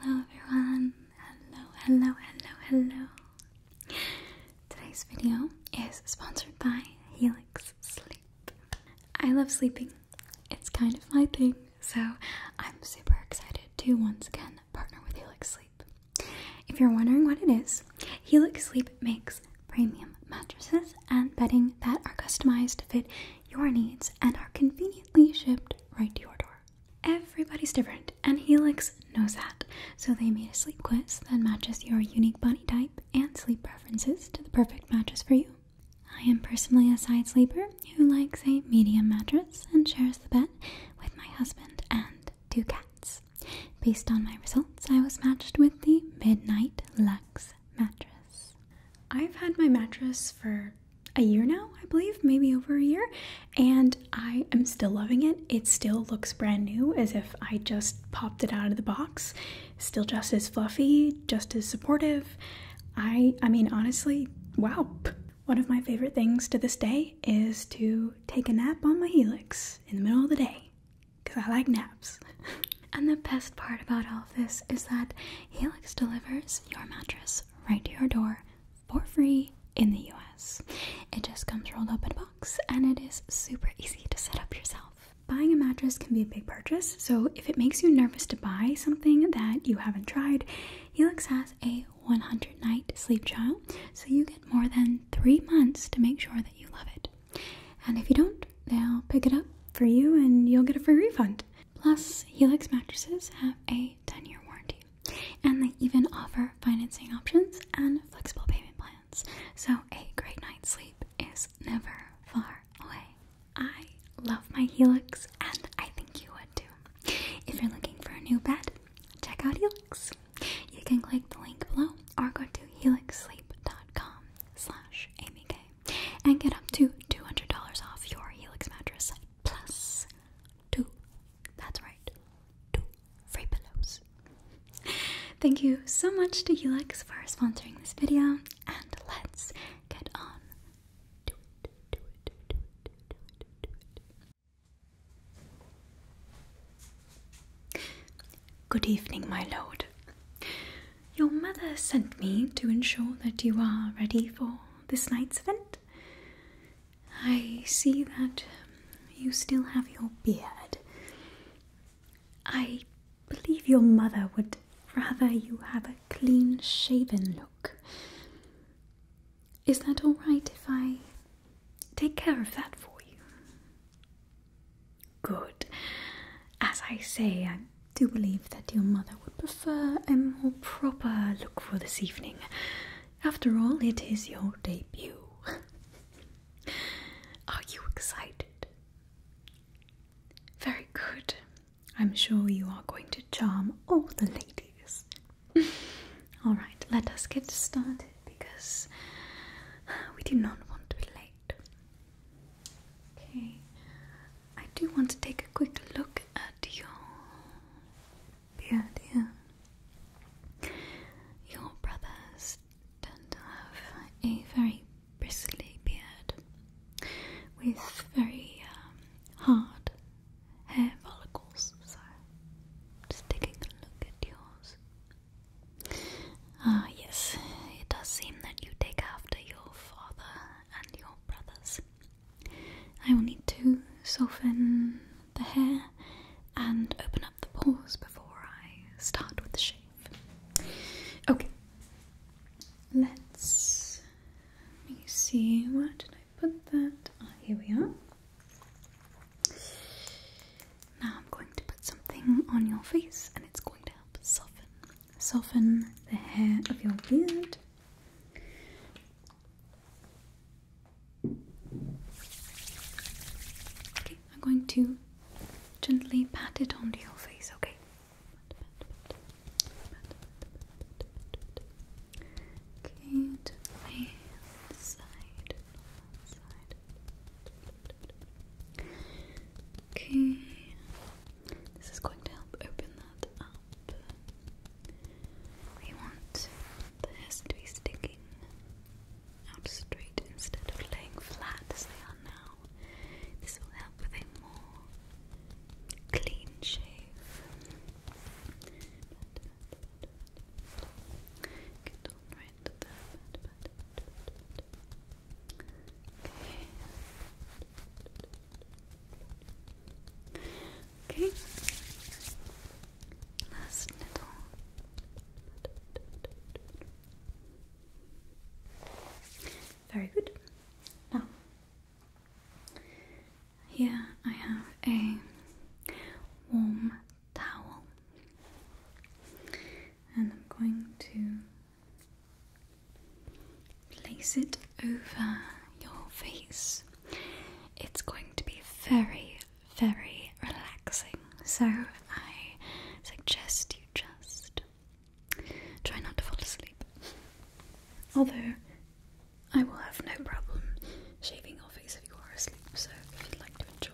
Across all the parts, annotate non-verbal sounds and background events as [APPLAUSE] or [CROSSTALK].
Hello everyone, hello, hello, hello, hello. Today's video is sponsored by Helix Sleep. I love sleeping, it's kind of my thing, so I'm super excited to once again partner with Helix Sleep. If you're wondering what it is, Helix Sleep makes premium mattresses and bedding that are customized to fit your needs and are conveniently shipped right to your door. Everybody's different, and Helix knows that. So they made a sleep quiz that matches your unique body type and sleep preferences to the perfect mattress for you. I am personally a side sleeper who likes a medium mattress and shares the bed with my husband and two cats. Based on my results, I was matched with the Midnight Lux mattress. I've had my mattress for a year now, I believe, maybe over a year, and I am still loving it. It still looks brand new as if I just popped it out of the box. Still just as fluffy, just as supportive. I I mean honestly, wow. One of my favorite things to this day is to take a nap on my Helix in the middle of the day cuz I like naps. [LAUGHS] and the best part about all of this is that Helix delivers your mattress right to your door for free in the US. It just comes rolled up in a box and it is super easy to set up yourself. Buying a mattress can be a big purchase, so if it makes you nervous to buy something that you haven't tried, Helix has a 100 night sleep trial, so you get more than three months to make sure that you love it. And if you don't, they'll pick it up for you and you'll get a free refund. Plus, Helix mattresses have a 10 year warranty. And they even offer financing options and flexible payment plans. So a great night's sleep is never far away. I love my Helix and I think you would too. If you're looking for a new bed, check out Helix. You can click the link below or go to helixsleep.com slash amyk and get up to $200 off your Helix mattress plus Two. That's right. Two free pillows. Thank you so much to Helix for sponsoring this video, and let's get on Good evening, my lord. Your mother sent me to ensure that you are ready for this night's event. I see that you still have your beard. I believe your mother would rather you have a clean shaven look. Is that all right if I take care of that for you? Good. As I say, I do believe that your mother would a more proper look for this evening. After all, it is your debut. [LAUGHS] Are you excited? Very good. I'm sure you are going to charm all the ladies. [LAUGHS] Alright, let us get started because [SIGHS] we do not want to be late. Okay, I do want to take a quick look at your beard Your brothers tend to have a very bristly beard with very um, hard hair follicles, so just taking a look at yours. Ah, yes, it does seem that you take after your father and your brothers. I will need to soften the hair and open up the pores before I start with the shave. Okay, let's let me see where did I put that? Ah, oh, here we are. Now I'm going to put something on your face and it's going to help soften. Soften the hair of your beard. Okay, I'm going to gently pat it onto your face, okay? Okay, to the side, Okay, this is going to help open that up. We want this to be sticking out straight instead of laying flat as they are now. This will help with a more clean shave. Okay. Okay. Last little. Very good. Now, here I have a warm towel, and I'm going to place it over your face. It's going to be very, very relaxing. So I suggest you just try not to fall asleep. Although I will have no problem shaving your face if you are asleep, so if you'd like to enjoy,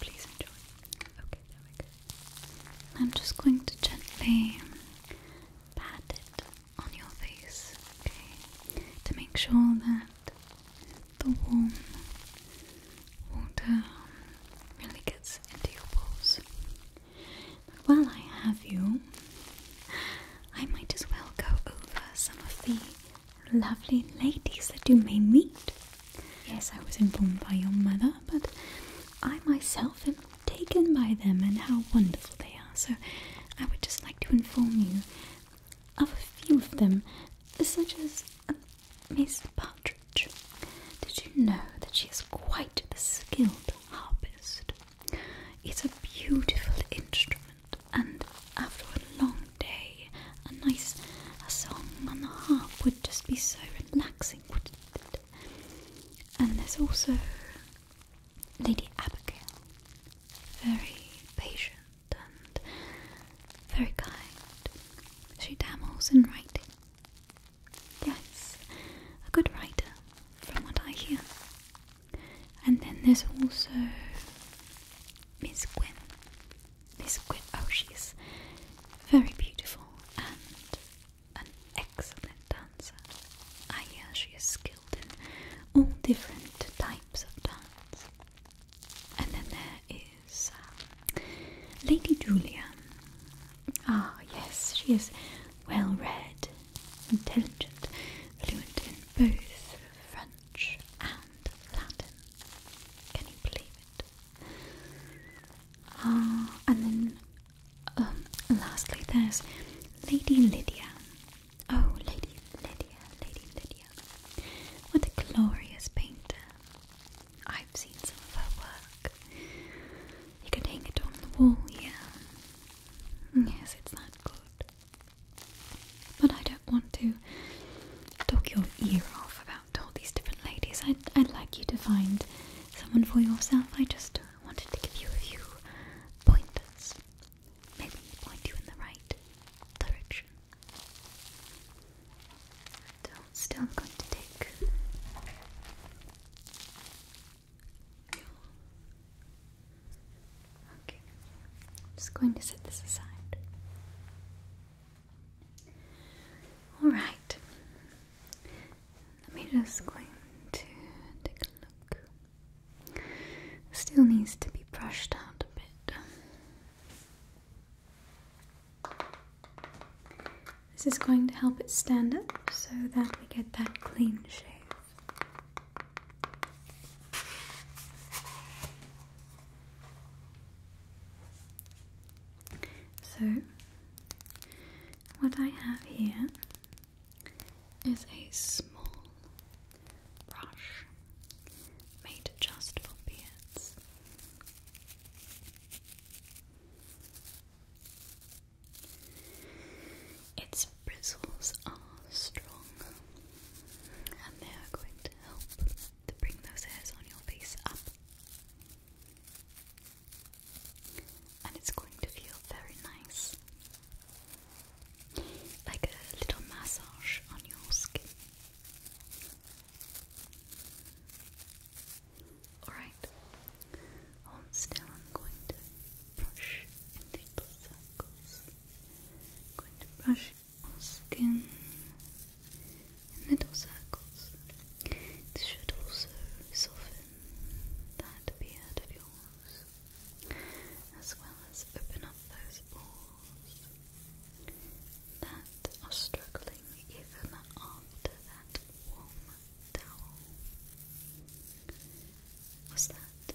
please enjoy. Okay, there I'm just going to gently pat it on your face, okay, to make sure that the warm water really gets into your pores. while I have you, I might as well go over some of the lovely ladies that you may meet. Yes, I was informed by your mother, but I myself am taken by them and how wonderful they are so I would just like to inform you of a few of them, such as um, Miss Partridge. Did you know that she is quite the skilled harpist? It's a beautiful instrument, and after a long day, a nice a song on the harp would just be so relaxing, wouldn't it? And there's also Lady Abigail very patient and very kind. She dabbles in writing. Yes, a good writer, from what I hear. And then there's also Miss Gwen. Miss Gwen, oh, she's very beautiful and an excellent dancer. I ah, hear she is skilled in all different types of dance. And then there is um, Lady Julia. Ah, yes, she is well read, intelligent, fluent in both French and Latin. Can you believe it? Ah, and then, um, lastly, there's Lady Lydia. Oh, Lady Lydia, Lady Lydia. What a glorious painter. I've seen some of her work. You could hang it on the wall, yeah. Mm, yes, it's that good. But I don't want to talk your ear off about all these different ladies. I'd, I'd like you to find someone for yourself. I just wanted to give you a few pointers maybe point you in the right direction. So I'm going to take Okay. I'm just going to set this aside. Alright. Let me just go to take a look. Still needs to be brushed out a bit. This is going to help it stand up so that we get that clean shape. So, what I have here is a small brush made just for beards. Its bristles are strong and they are going to help to bring those hairs on your face up. And it's going to feel very nice like a little massage on your skin. Alright, hold still. I'm going to brush in little circles. going to brush your skin in little circles. This should also soften that beard of yours as well as open up those pores that are struggling even after that warm towel. Was that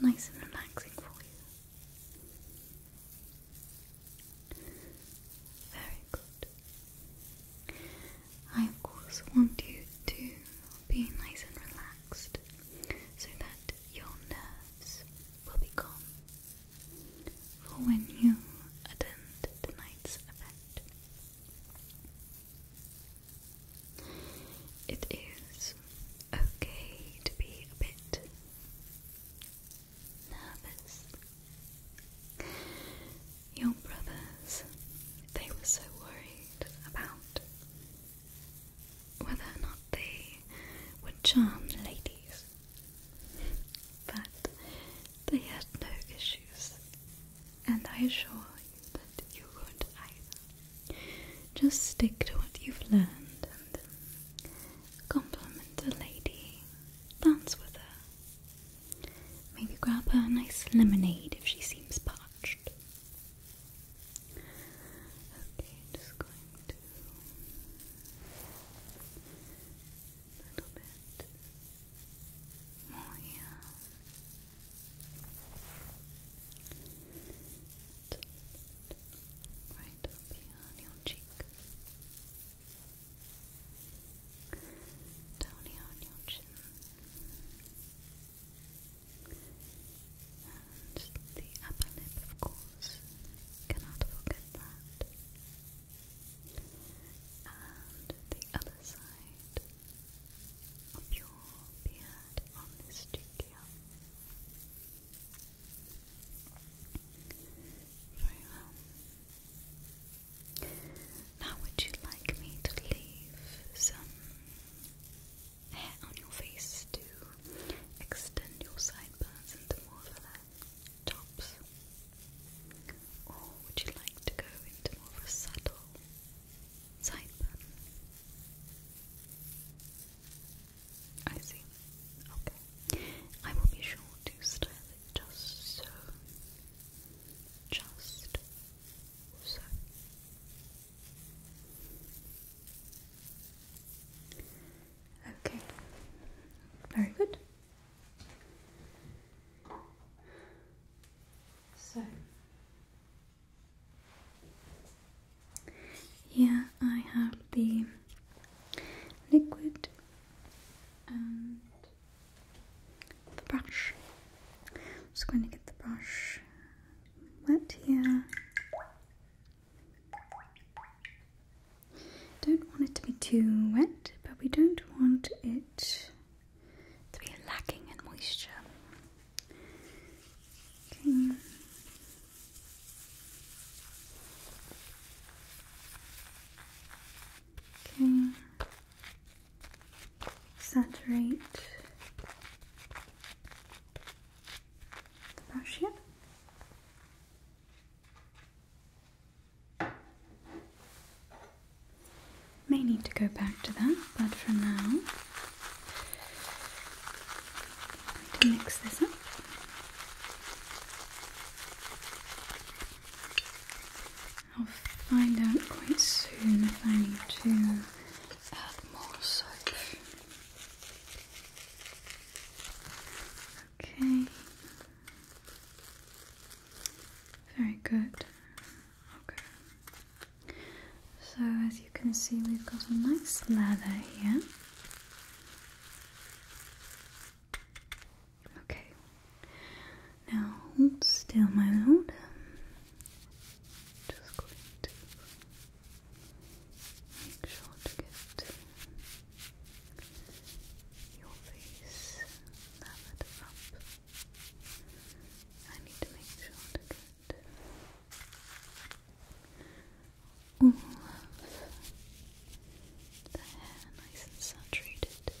nice and relaxing for you? Very good. I, of course, want you to be nice and relaxed so that your nerves will be calm for when you attend tonight's event. It is okay to be a bit nervous. Your brothers, they were so worried about whether or not they would charm ladies, but they had no issues, and I assure you that you won't either. Just stick to what you've learned and compliment a lady, dance with her, maybe grab her a nice lemonade if she seems parched. Okay, just going a little bit more here. Right up here on your cheek. Down here on your chin. And the upper lip, of course, cannot forget that. And the other side of your beard on this cheek here. Very well. Now, would you like me to leave some hair on your face to extend your sideburns into more of a tops? Or would you like to go into more of a subtle sideburn? I see. Okay. I will be sure to style it just so. Just so. Okay, very good. So, yeah, I have the liquid and the brush. I'm just going to get the brush wet here. Don't want it to be too wet, but we don't want it to be lacking in moisture. Okay. Okay. Saturate May need to go back to that, but for now, to mix this up. I'll find out quite soon if I need to add more soap. Okay. Very good. Okay. So, as you can see, we've got a nice lather here. Okay. Now, still, my lord. Just going to Make sure to get your face leveled up. I need to make sure to get all of the hair nice and saturated. Okay.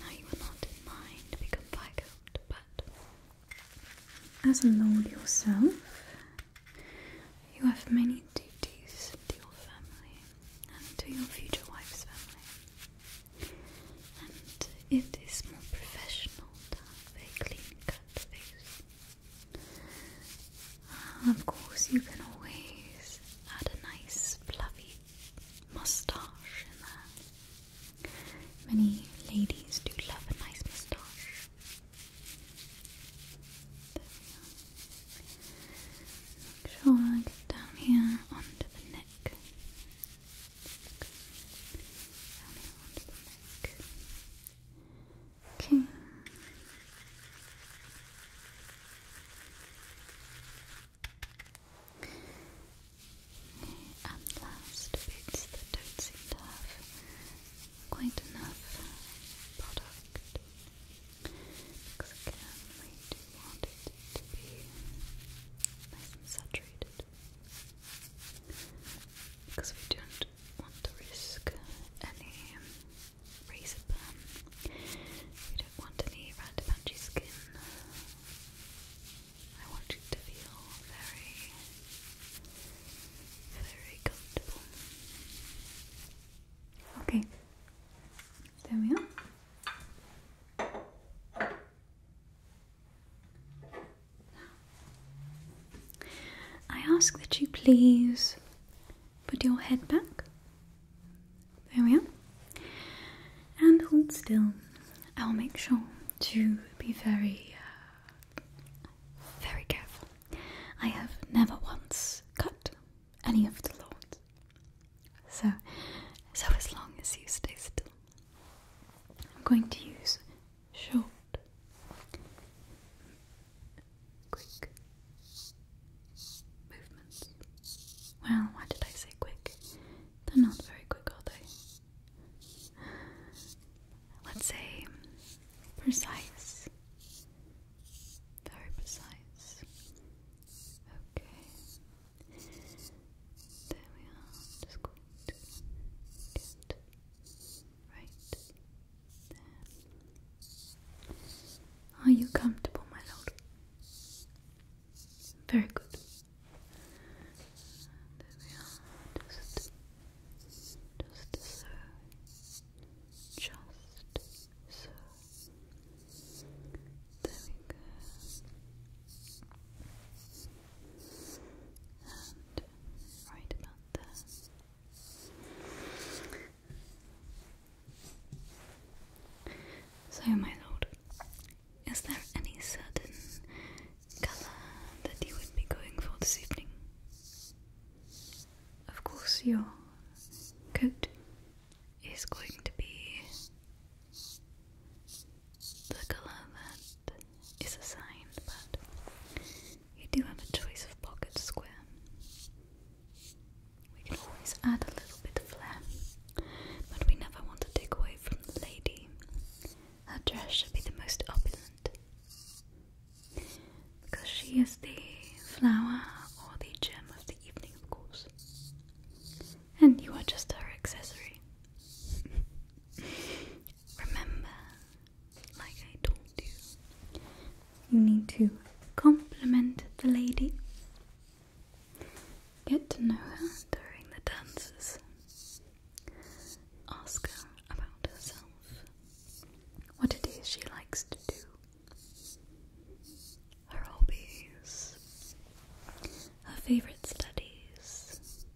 Now you are not mind to become Viscount, but as a lord yourself, you have many duties to your family and to your future wife's family. And it is more professional to have a clean cut face. of course, you can always add a nice fluffy moustache in there. Many ladies do love a nice moustache. Make sure I get down here onto the neck. Okay and last bits that don't seem to have quite enough product because again we do want it to be nice and saturated because we don't want to risk any razor burn. You don't want any red punchy skin. I want you to feel very, very comfortable. Okay, there we are. I ask that you please put your head back there we are. And hold still. I'll make sure to be very, uh, very careful. I have never once cut any of the lawns. So, so as long as you stay still, I'm going to use short, quick movements. Well, why did I say quick? They're not very quick, are they? Let's say precise. Very precise. Okay. There we are. Just going right there. Are you comfortable, my lord? Very good. Just, just so. Just so. There we And right about there. So, my lord, is there any certain colour that you would be going for this evening? Of course, your coat is going to be the colour that is assigned, but you do have a choice of pocket square. We can always add a little bit of flair, but we never want to take away from the lady. Her dress should be the most opulent, because she is the flower or the gem of the evening, of course. And you are just her accessory. [LAUGHS] Remember, like I told you, you need to compliment the lady Get to know her during the dances. Ask her about herself, what it is she likes to do, her hobbies, her favourite studies.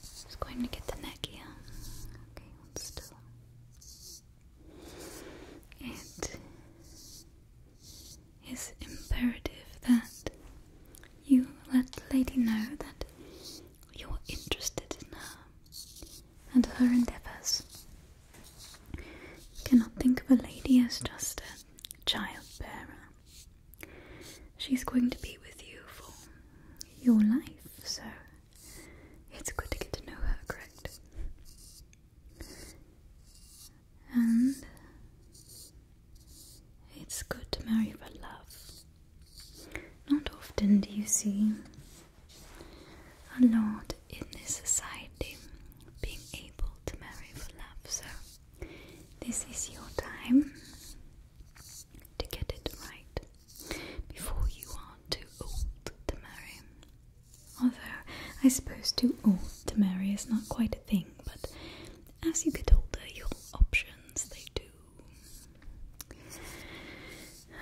Just going to get the neck here. Okay, one still. It is imperative that you let the lady know that you're interested in her and her endeavours. You cannot think of a lady as just a child bearer. She's going to be with you for your life, so it's good to get to know her, correct? And it's good to marry for love. Not often do you see a lot in this society being able to marry for love, so this is your time to get it right before you are too old to marry. Although I suppose to old to marry is not quite a thing, but as you get older, your options they do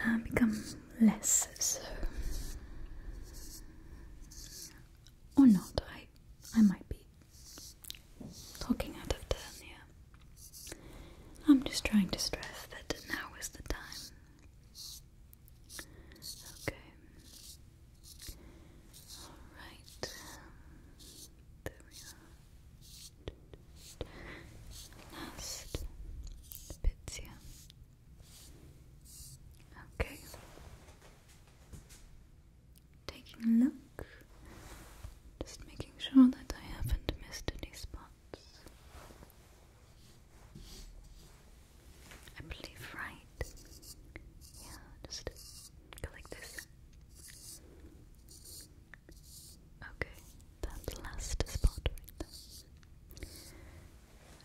uh, become less so. Or not, I I might be talking out of turn here. I'm just trying to stress that now is the time. Okay. Alright. There we are. Last bits here. Okay. Taking a look. Just making sure that I haven't missed any spots. I believe, right? Yeah, just go like this. Okay, that last spot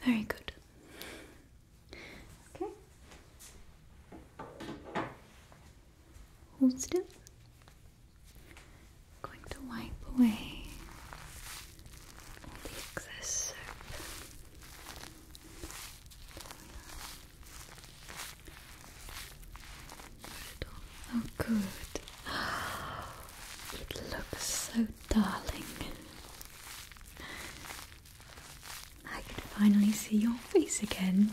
Very good. Okay. Hold still. going to wipe away the excess soap. Oh, good. It looks so darling. I can finally see your face again.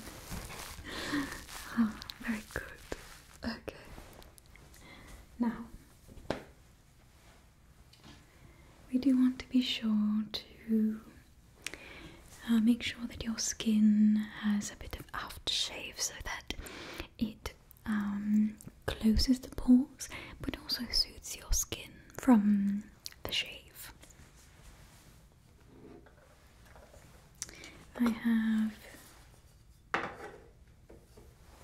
Oh, very good. Okay. Now, we do want to be sure to uh, make sure that your skin has a bit of aftershave so that it um, closes the pores but also suits your skin from the shave. I have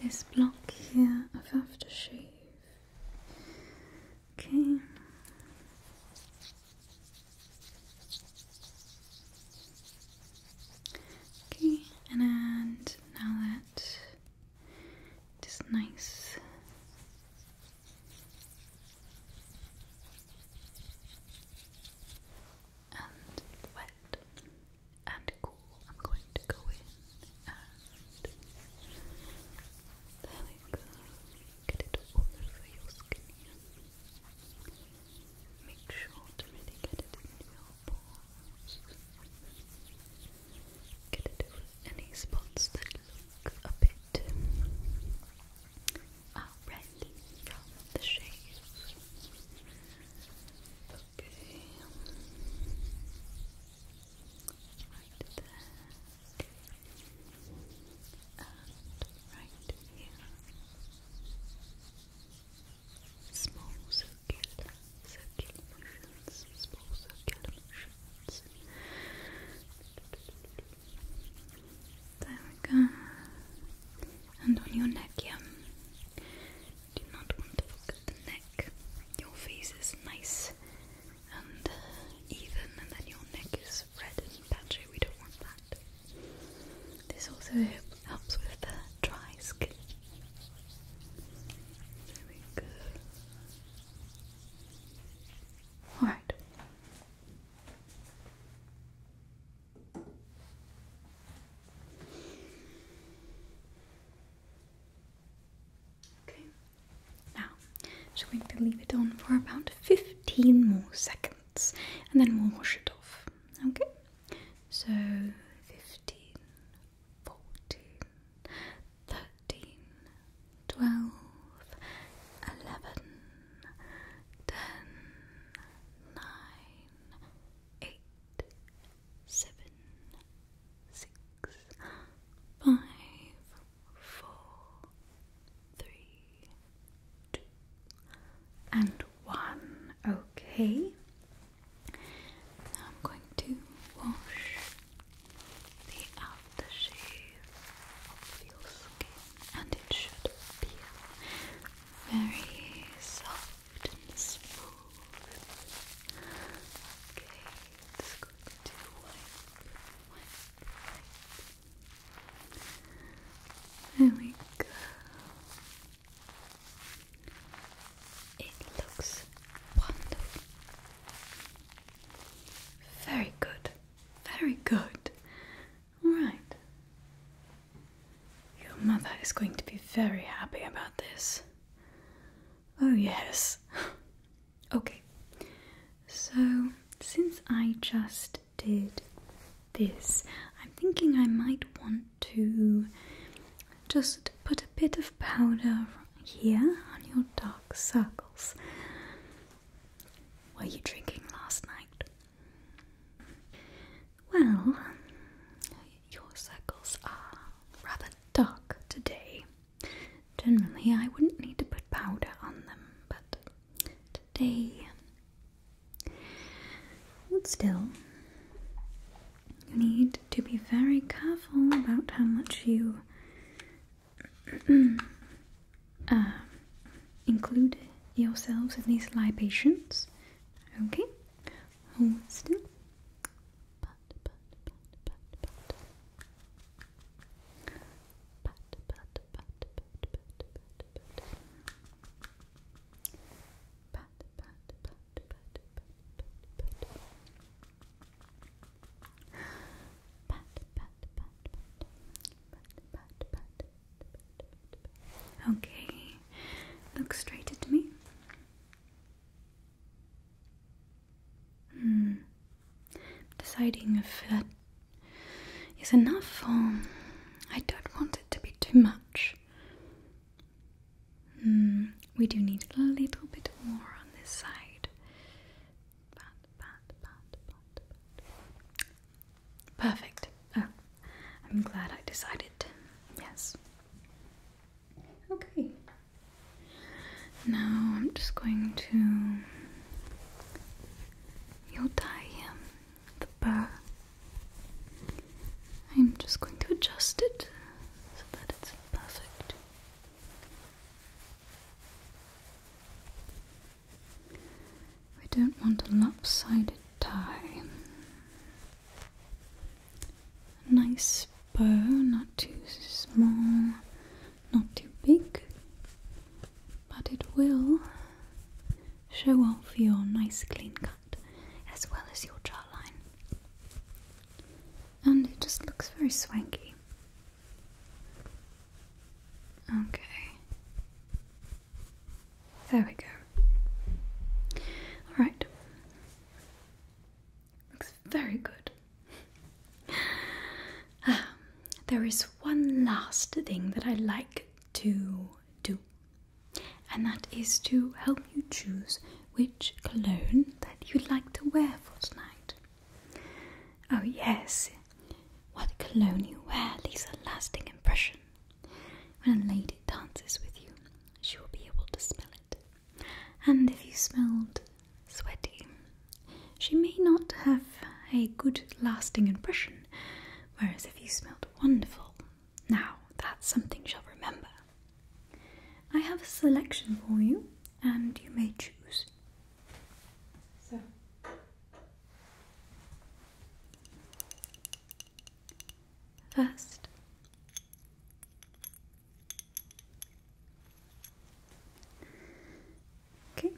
this block here of aftershave. Okay. Okay, and now that it is nice. And wet and cool. I'm going to go in and there we go. Get it all over your skin Make sure to really get it in your pores. Get it over any spots that look a bit already uh, from the shade. Okay right there, and right here. Small circular, motions, small circular motions. There we go. And on your neck, yeah. Do not want to look at the neck. Your face is nice and uh, even, and then your neck is red and patchy. We don't want that. This also helps with the dry skin. There we go. Alright. Okay, now just going to leave it on for about 15 more seconds and then we'll wash it off. Okay, so 15, 14, 13, 12, 11, 10, 9, 8, 7, 6, five, four, three, two, and one. Okay. I'm going to wash the aftershave off your skin, and it should feel very soft and smooth. Okay just There we go. It looks wonderful. Very good. Very good. All right. Your mother is going to be very happy about this. Oh, yes. Okay, so since I just did this, I'm thinking I might want to just put a bit of powder here on your dark circles. Were you drinking last night? Well, your circles are rather dark today. Generally, I wouldn't need to put powder on them, but today, um, but still, you need to be very careful about how much you [CLEARS THROAT] uh, include yourselves in these libations. Okay, hold still. Okay, look straight at me. Hmm. Deciding if that is enough I don't want it to be too much. Hmm. We do need a little bit more on this side. Perfect. Oh, I'm glad I decided. Yes. Okay. Now I'm just going to. You'll tie him, the bow. I'm just going to adjust it so that it's perfect. We don't want a lopsided tie a nice bow, not too small, not too big, but it will show off your nice clean cut as well as your jawline. And it just looks very swanky. Okay. There we go. Alright very good. [LAUGHS] Um, there is one last thing that I like to do, and that is to help you choose which cologne that you'd like to wear for tonight. Oh, yes, what cologne you wear leaves a lasting impression. When a lady dances with you, she will be able to smell it. And if you smelled sweaty, she may not have a good lasting impression, whereas if you smelled wonderful, now that's something she'll remember. I have a selection for you, and you may choose. So. First, Okay.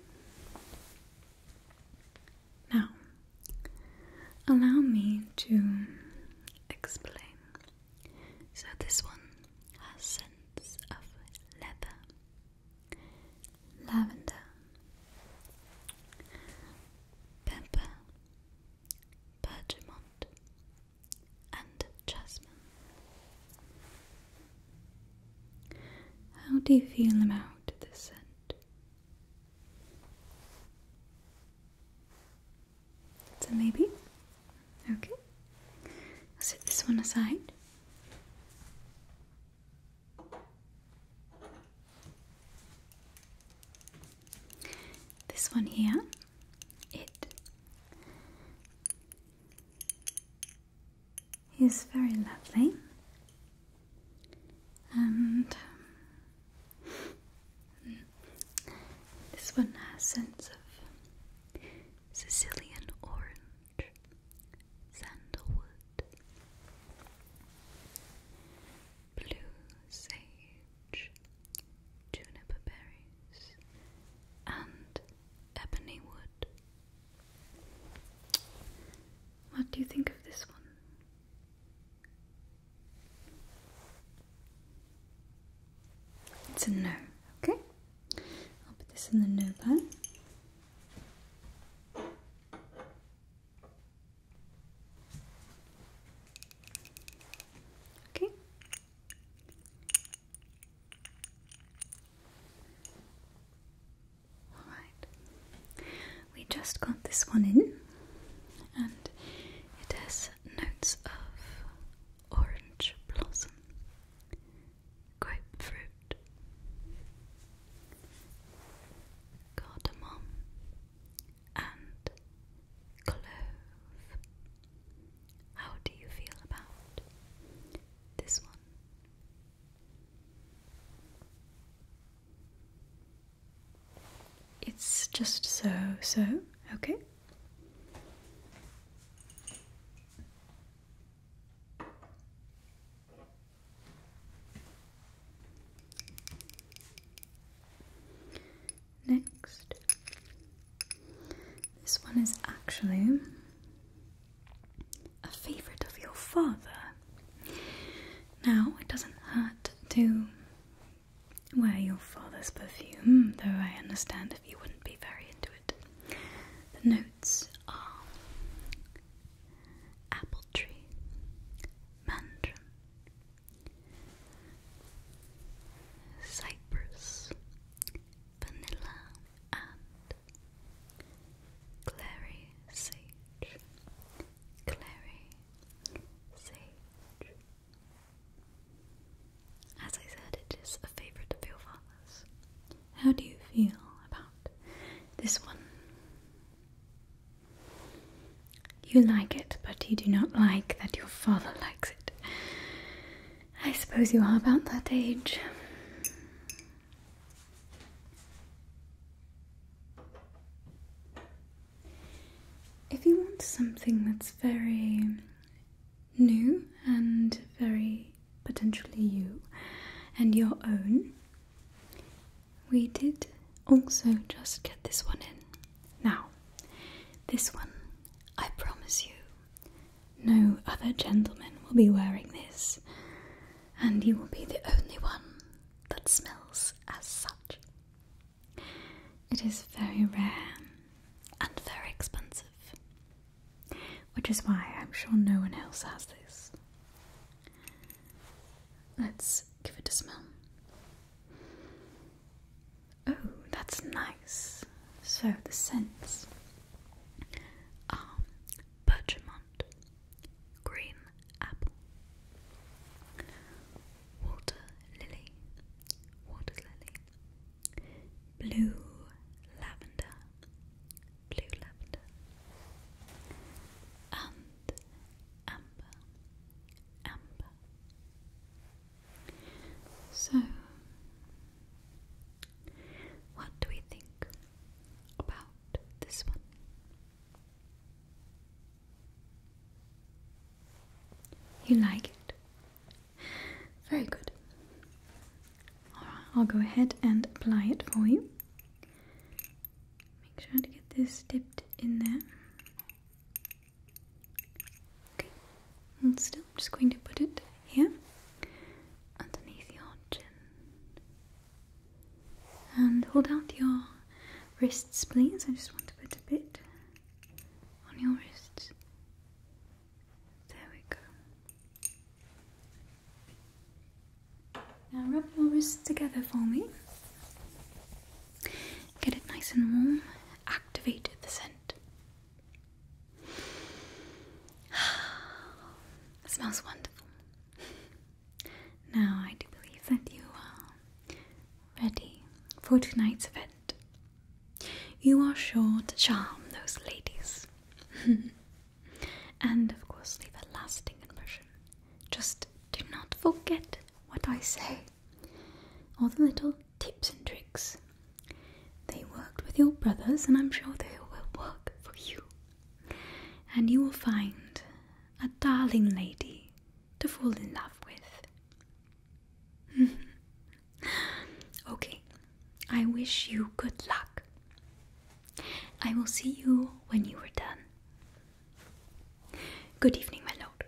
Now, allow me to explain. So, this one has scents of leather, lavender, pepper, bergamot, and jasmine. How do you feel about this scent? So maybe? Okay. I'll set this one aside. This one here, it He's very lovely and um, this one has a sense of Sicilian orange sandalwood blue sage juniper berries and ebony wood. What do you think of this one? It's a no, okay? I'll put this in the no bag. Okay. Alright, we just got this one in, and it has notes of orange blossom, grapefruit, cardamom, and clove. How do you feel about this one? It's just so, so, okay next. This one is actually a favourite of your father. Now, it doesn't hurt to wear your father's perfume, though I understand if you wouldn't be very into it. The notes are apple tree, mandarin, cypress, vanilla, and clary sage, clary sage. As I said, it is a favourite of your father's. How do you feel about this one? You like it, but you do not like that your father likes it. I suppose you are about that age. If you want something that's very new and very potentially you and your own, we did also just get this one in. Now, this one, I promise you, no other gentleman will be wearing this, and you will be the only one that smells as such. It is very rare and very expensive, which is why I'm sure no one else has this. Let's give it a smell. Oh, that's nice. So the scents are bergamot, green apple, water lily, water lily, blue lavender, blue lavender, and amber, amber. So, what do we think about this one? You like it? Very good. Alright, I'll go ahead and apply it for you. Make sure to get this dipped in there. Okay, and still, I'm just going to put it here underneath your chin. And hold out your wrists, please. I just want to put a bit on your wrists. There we go. Now rub your wrists together for me. Get it nice and warm. Activate the scent. It [SIGHS] smells wonderful. Now, I do believe that you are ready for tonight's event. You are sure to charm those ladies. [LAUGHS] and, of course, leave a lasting impression. Just do not forget what I say, or the little tips and tricks. They worked with your brothers, and I'm sure they will work for you. And you will find a darling lady to fall in love with. [LAUGHS] okay, I wish you good luck. I will see you when you are done. Good evening, my lord.